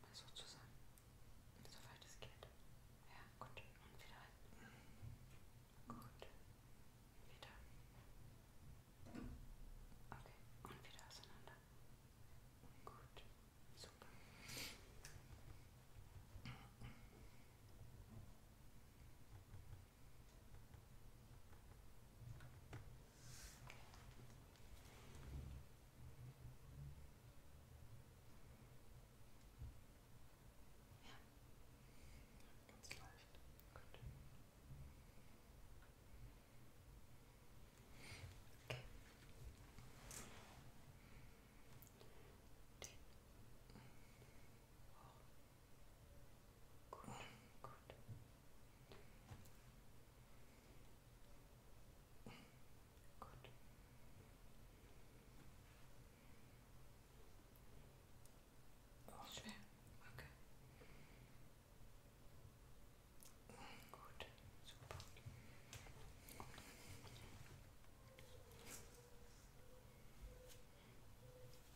Mal so zusammen. Soweit es geht. Ja, gut. Und wieder rein. Gut. Wieder. Okay. Und wieder auseinander. Gut. Super ganz leicht. Gut. Okay. Den. Oh. Good, good. Good. Oh. okay. Gut, super.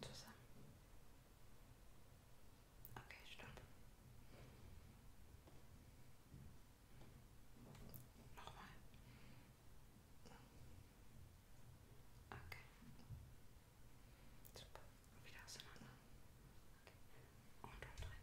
Zusammen. Okay, stopp. Nochmal. Okay. Super. Wieder auseinander. Okay. Und, und rein.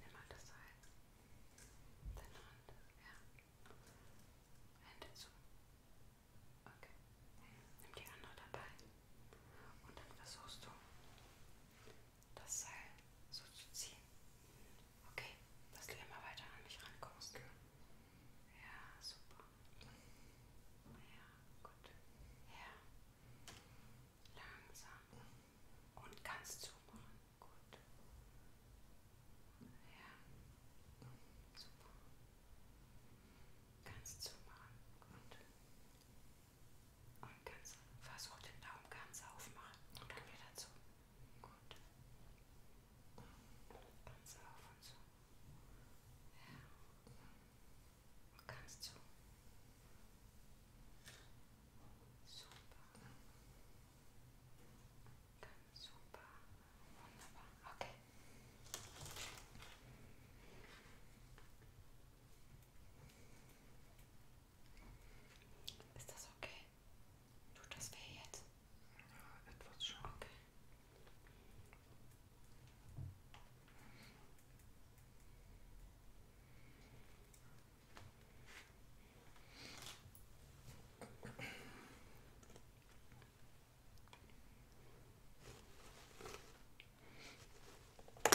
Nimm mal das Salz. Deine Hand. Ja. Hände zu. Okay. Nimm die andere dabei. Und dann versuchst du das Seil so zu ziehen. Okay, dass du immer weiter an mich rankommst. Okay. Ja, super. Ja, gut. Ja. Langsam. Und ganz zumachen. Gut. Ja. Super. Ganz zumachen. Gut. Und ganz versuch den Daumen ganz aufmachen und dann wieder zu. Gut. Ganz auf und zu. Ja. Und ganz zu. Super. Ganz super. Wunderbar. Okay. Ist das okay? Tut das weh jetzt? Ja, etwas schon. Okay. Die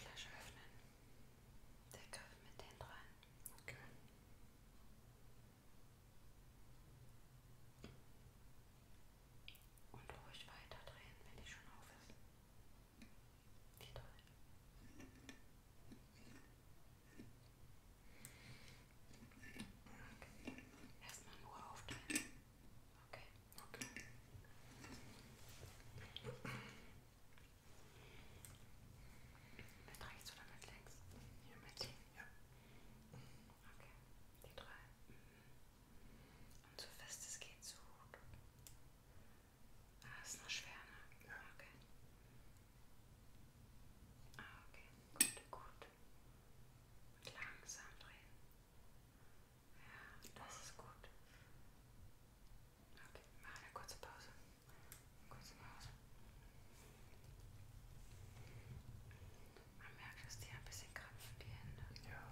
Flasche öffnen. Der Griff mit den dran. Okay. Und ruhig weiterdrehen, wenn die schon auf ist. Wie toll. Okay. Erstmal nur aufteilen. Okay. Okay. Mit rechts oder mit links? Hier mit links. Ja. Okay. Die drei. Mhm. Und so fest es geht, so gut. Okay. Ah, ist noch schwer, ne? Ja. Okay. Ah, okay. Gut, gut. Und langsam drehen. Ja, das ist gut. Okay, mach eine kurze Pause. Eine kurze Pause. Man merkt, dass die ein bisschen krampfen, die Hände. Ja.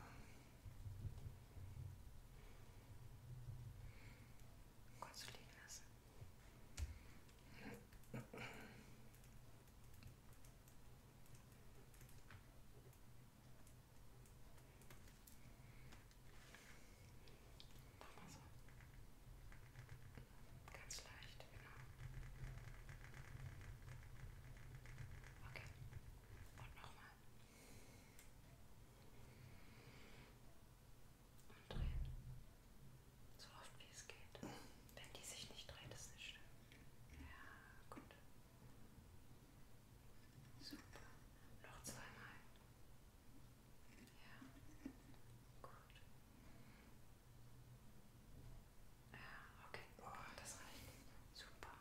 Kannst du liegen lassen? Mach mal so. Ganz leicht, genau. Okay. Und nochmal. Und drehen. So oft wie es geht. Wenn die sich nicht dreht, ist nicht schlimm. Ja, gut. Super. Noch zweimal. Ja, gut. Ja, okay. Das reicht. Super.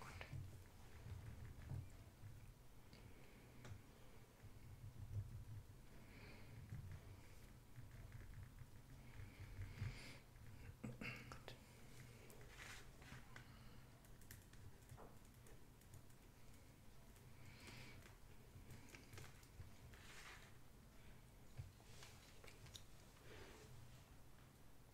Gut. Gut.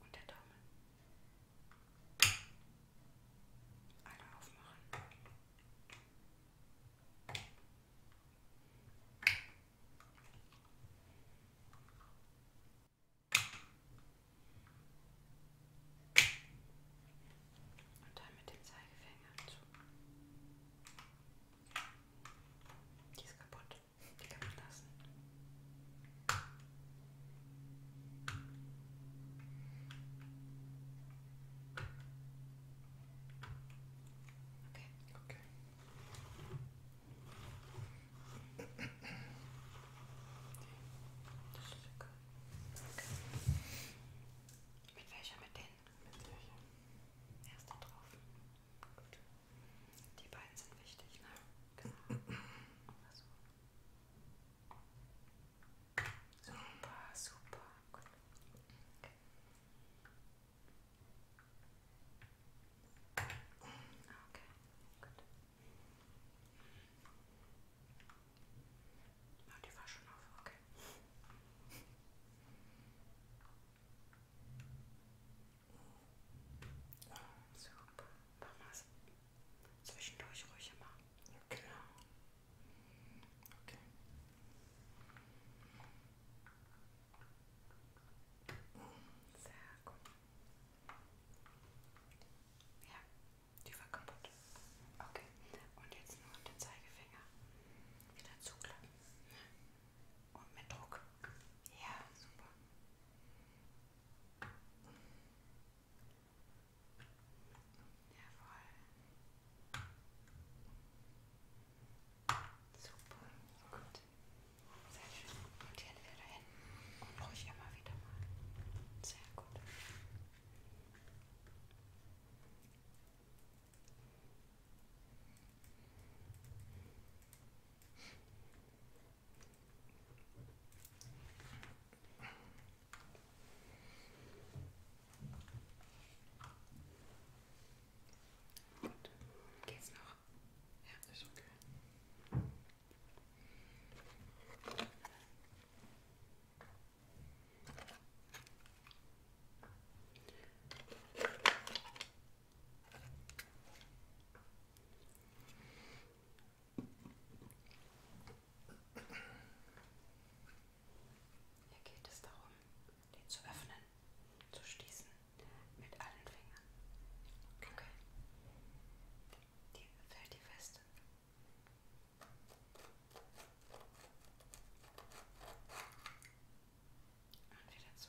Und der Daumen. Alle aufmachen. Und dann mit dem Zeigefinger zu. Die ist kaputt. Die kann man lassen. Okay. Okay. Das ist okay. okay. Mit welcher? Mit denen? Witzig. Erst da drauf. Gut. Die beiden sind wichtig, ne? Genau. Oder so. Also. Super, super. Gut. Okay. Ah, okay, gut. Ja, ah, die war schon auf, okay. Super, mach mal zwischendurch ruhig immer. Okay. Genau. Okay. Sehr gut. Ja, die war kaputt. Okay. Und jetzt nur den Zeigefinger wieder zuklappen. Und oh, mit Druck. Ja, super. Jawohl. Super, gut. Sehr schön. Notieren wir dahin. Und ruhig immer wieder mal. Sehr gut. Gut. Geht's noch? Ja, ist okay. Hier geht es darum, den zu öffnen, zu schließen mit allen Fingern. Okay. Die fällt die fest. Okay. Und wieder zu.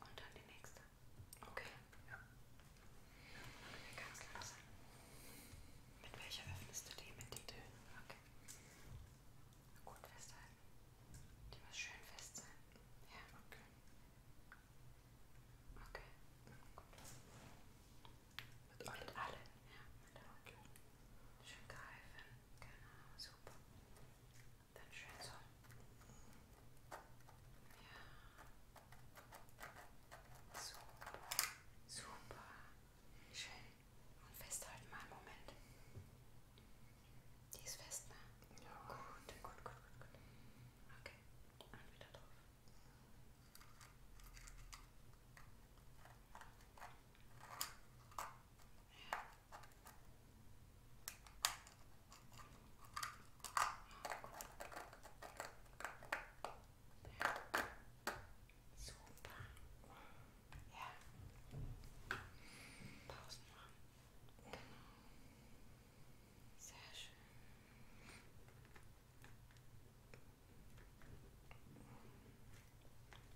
Und dann die nächste. Okay. Ja. Machen wir ganz langsam. Mit welcher öffnest du die? Mit die Dünn. Okay. Gut festhalten. Die muss schön fest sein. Ja. Okay. Okay. Mit allem? Mit allem, ja. Mit allem. Okay. Schön greifen. Genau, super. Dann schön so. Ja. Super. Super. Schön. Und festhalten mal einen Moment. Die ist fest, ne? Ja. Gut, gut, gut, gut. gut. Okay. Und wieder drauf. Super. Ja. Pausen machen. Genau. Sehr schön.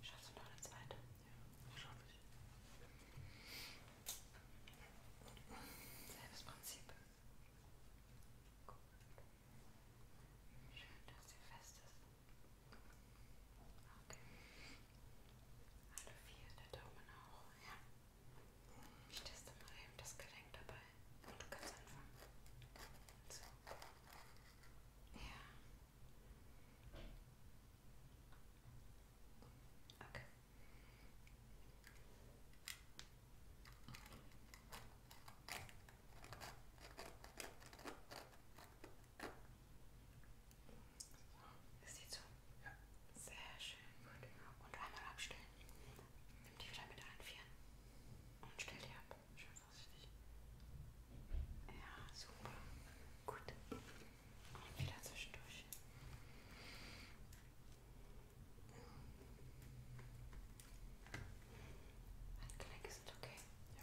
Schaffst du noch eine zweite? Ja, schaffe ich. Selbes Prinzip. Gut. Schön, dass sie fest ist. Okay. Alle vier, der Daumen auch. Ja. Ich teste mal eben das Gelenk dabei. Und du kannst anfangen. So. Ja. Okay. So, ist die zu? Ja. Sehr schön. Gut. Und einmal abstellen. Nimm die wieder mit einfrieren und stell die ab. Schön vorsichtig. Ja, super. Gut. Und wieder zwischendurch. Ein Knick ist okay. Ja.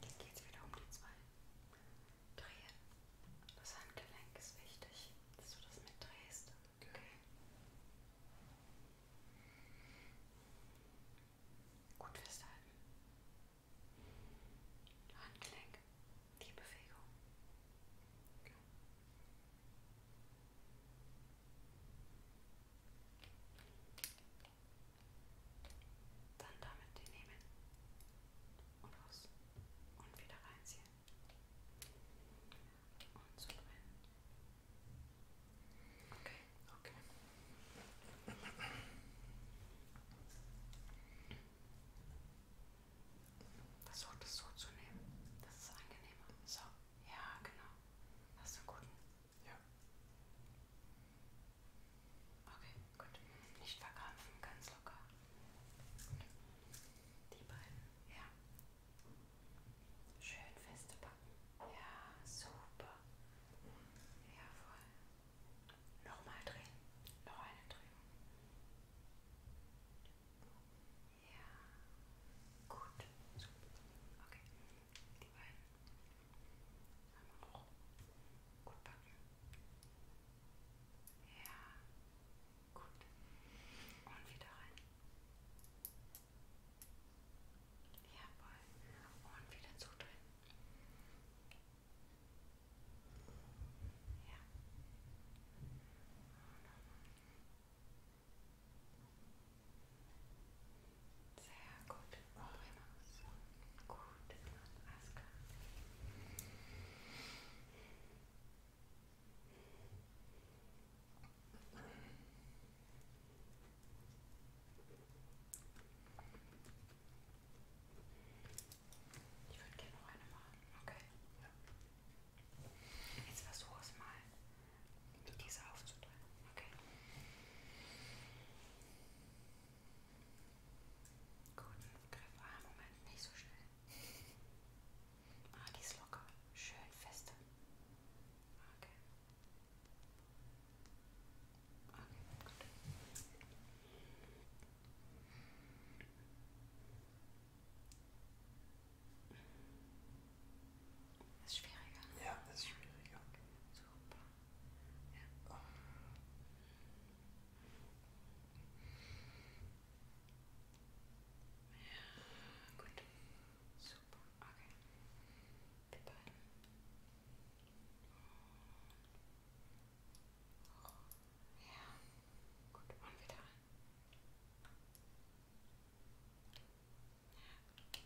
Jetzt geht es wieder um die zwei Drehen. Das Handgelenk ist wichtig, dass du das mitdrehst. Okay. Gut festhalten. Handgelenk, die Bewegung. Okay. Dann damit den nehmen und raus und wieder reinziehen und so drin. Okay. Okay. Versucht es so zu nehmen. Das ist angenehmer. So, ja, genau. Hast du einen guten ja. Okay, gut. Nicht verkrampfen, ganz locker. Die beiden. Ja. Schön feste packen. Ja, super. Jawohl. Nochmal drehen. Noch eine Drehung. Ja. Gut. Super. Okay. Die beiden haben auch gut backen. Ja, gut. Und wieder rein. Jawohl. Und wieder zudrehen. Ja. Sehr gut. Prima. So. Gut. Alles klar. Ich würde gerne noch eine machen. Okay. Ja. Jetzt versuch es mal diese aufzuteilen. Okay. Gut, Griff. Ah, Moment, nicht so schnell. Ah, die ist locker. Schön feste. Okay. Okay, gut. Das ist schwieriger. Ne? Ja, das ist schwieriger. Super. Ja. ja gut. Super. Okay. Wir beide. Ja, gut, und wieder rein. Okay.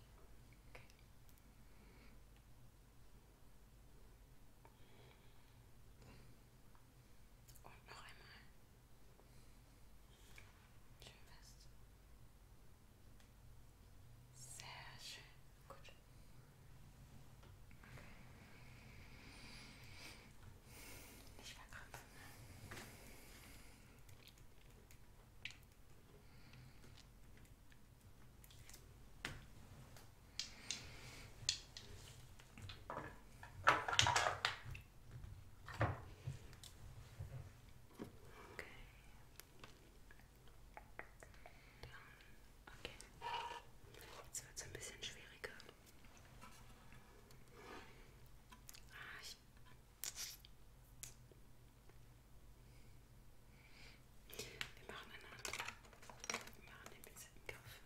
Und noch einmal. Schön fest. Sehr schön. Gut. Okay. Nicht verkrampfen. Dann, okay. Jetzt wird es ein bisschen schwieriger. Ah, ich wir machen eine andere. Wir machen den pinzetten Griff.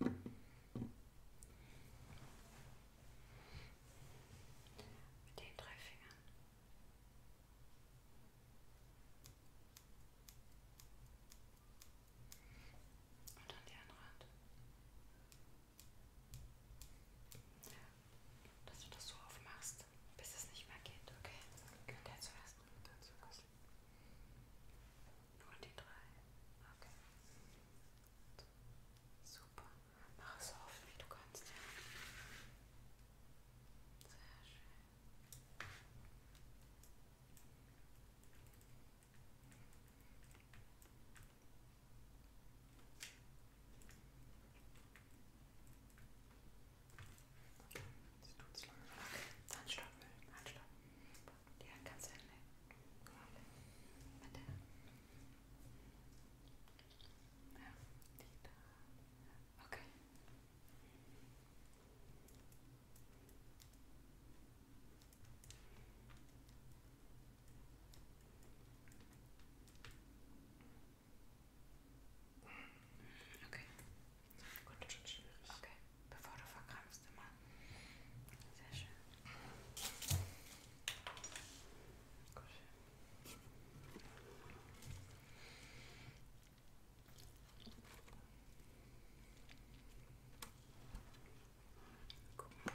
Mit den drei Fingern. Und an die andere Hand. Und dass du das so aufmachst, bis es nicht mehr geht, okay? okay. Der zuerst. Der zuerst. Nur die drei. Okay. Super. Mach es so oft wie du kannst, ja. Sehr schön. Das tut's lange. Handstock, Handstock. Die Hand kannst du hinnehmen. Mit der Hand. Ja, die da. Okay. Okay. Okay. Gut. Das ist schon schwierig. Okay. Bevor du verkrampfst immer. Sehr schön. Gut. Guck mal.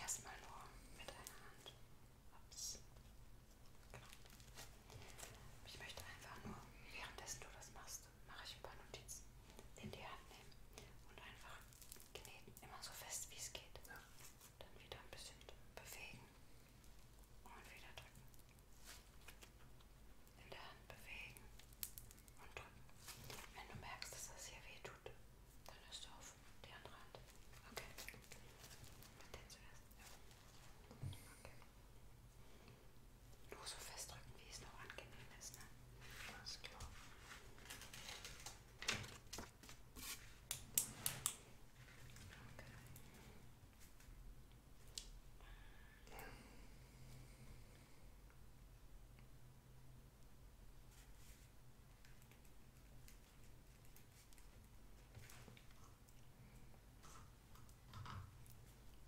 Erstmal nur mit einer Hand. Ups. Genau. Ich möchte einfach nur, währenddessen du das machst, mache ich ein paar Notizen in die Hand nehmen und einfach kneten, immer so fest wie es geht. Ja. Dann wieder ein bisschen bewegen und wieder drücken. In der Hand bewegen und drücken. Wenn du merkst, dass das hier weh tut, dann hörst du auf die andere Hand. Okay. Mit den zuerst. Ja. Okay. Nur so festdrücken, wie es noch angenehm ist, ne? Alles klar. Okay.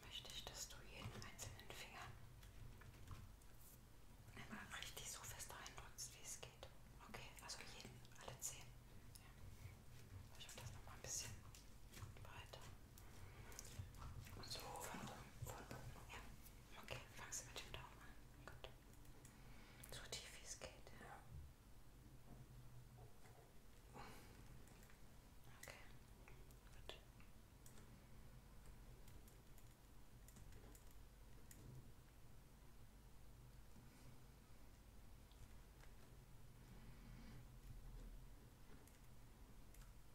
Möchte ich, dass du jeden einzelnen Finger einmal richtig so fest reindrückst, wie es geht. Okay, also jeden, alle zehn. Ja. Ich mache das nochmal ein bisschen breiter. So, von oben, von oben, ja. Okay, fangst du mit dem Daumen an. Oh gut. So tief wie es geht, ja. Okay, gut. Okay.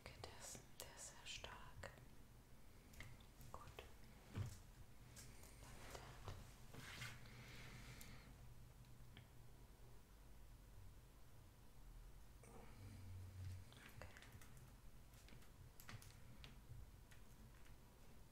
Okay, der ist, der ist sehr stark. Gut. Okay.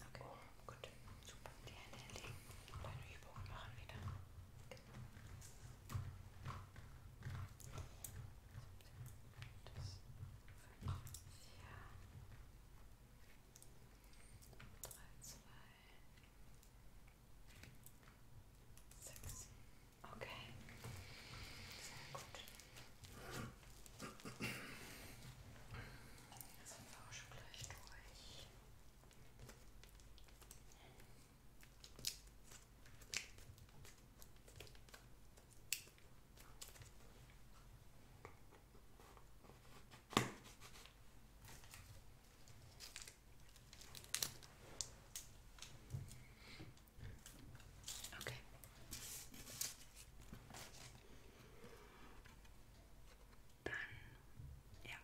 Okay, gut. Super. Die Hände hinlegen und eine Übung machen wieder. Das ja. 3, 2, 6. Okay. Sehr gut. Jetzt sind wir auch schon gleich durch. Okay. Dann, ja.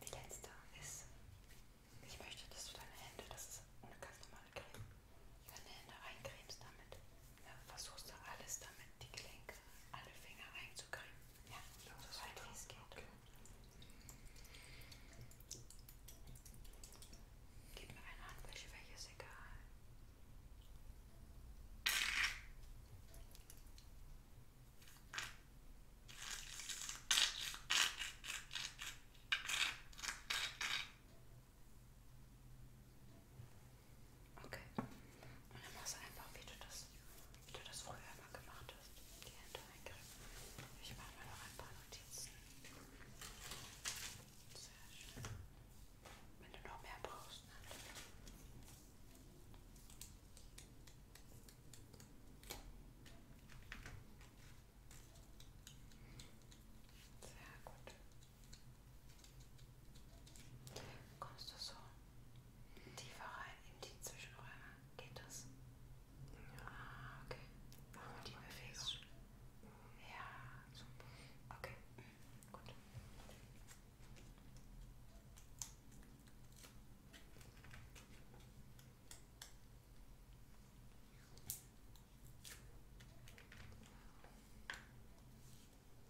Die letzte ist, ich möchte, dass du deine Hände, das ist eine ganz normale Creme, deine Hände eincremst damit. Ja, versuchst du alles damit, die Klinke, alle Finger einzucremen. Ja, ja so weit wie es geht. Okay. Gib mir eine Handwäsche, welche ist egal. Gut. Okay. Und dann machst du einfach, wie du das, wie du das früher immer gemacht hast. Die Hände eingriffen. Ich mache mir noch ein paar Notizen. Sehr schön. Wenn du noch mehr brauchst, ne? Sehr gut. Kommst du so tiefer rein in die Zwischenräume? Geht das? Ja. Ah, okay. Machen wir die Bewegung. Ja, super. Okay, gut. Okay.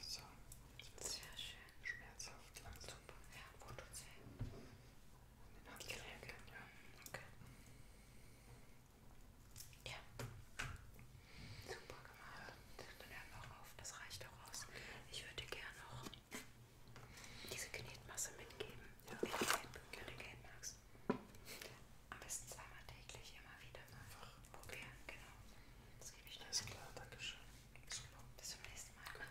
So. Sehr schön. Schmerzhaft langsam. Ja, Foto 10 den Handgelenken. Gelenken, ja. Okay. Ja. Super gemacht. Ja. Dann hören wir auch auf, das reicht auch aus. Ich würde gerne noch diese Knetmasse mitgeben. Ja. Wenn du Geld, Geld magst. Am besten zweimal täglich, immer wieder mal Einfach. probieren. Genau. Das gebe ich dir. Alles klar, danke schön. Super. Bis zum nächsten Mal. Gut.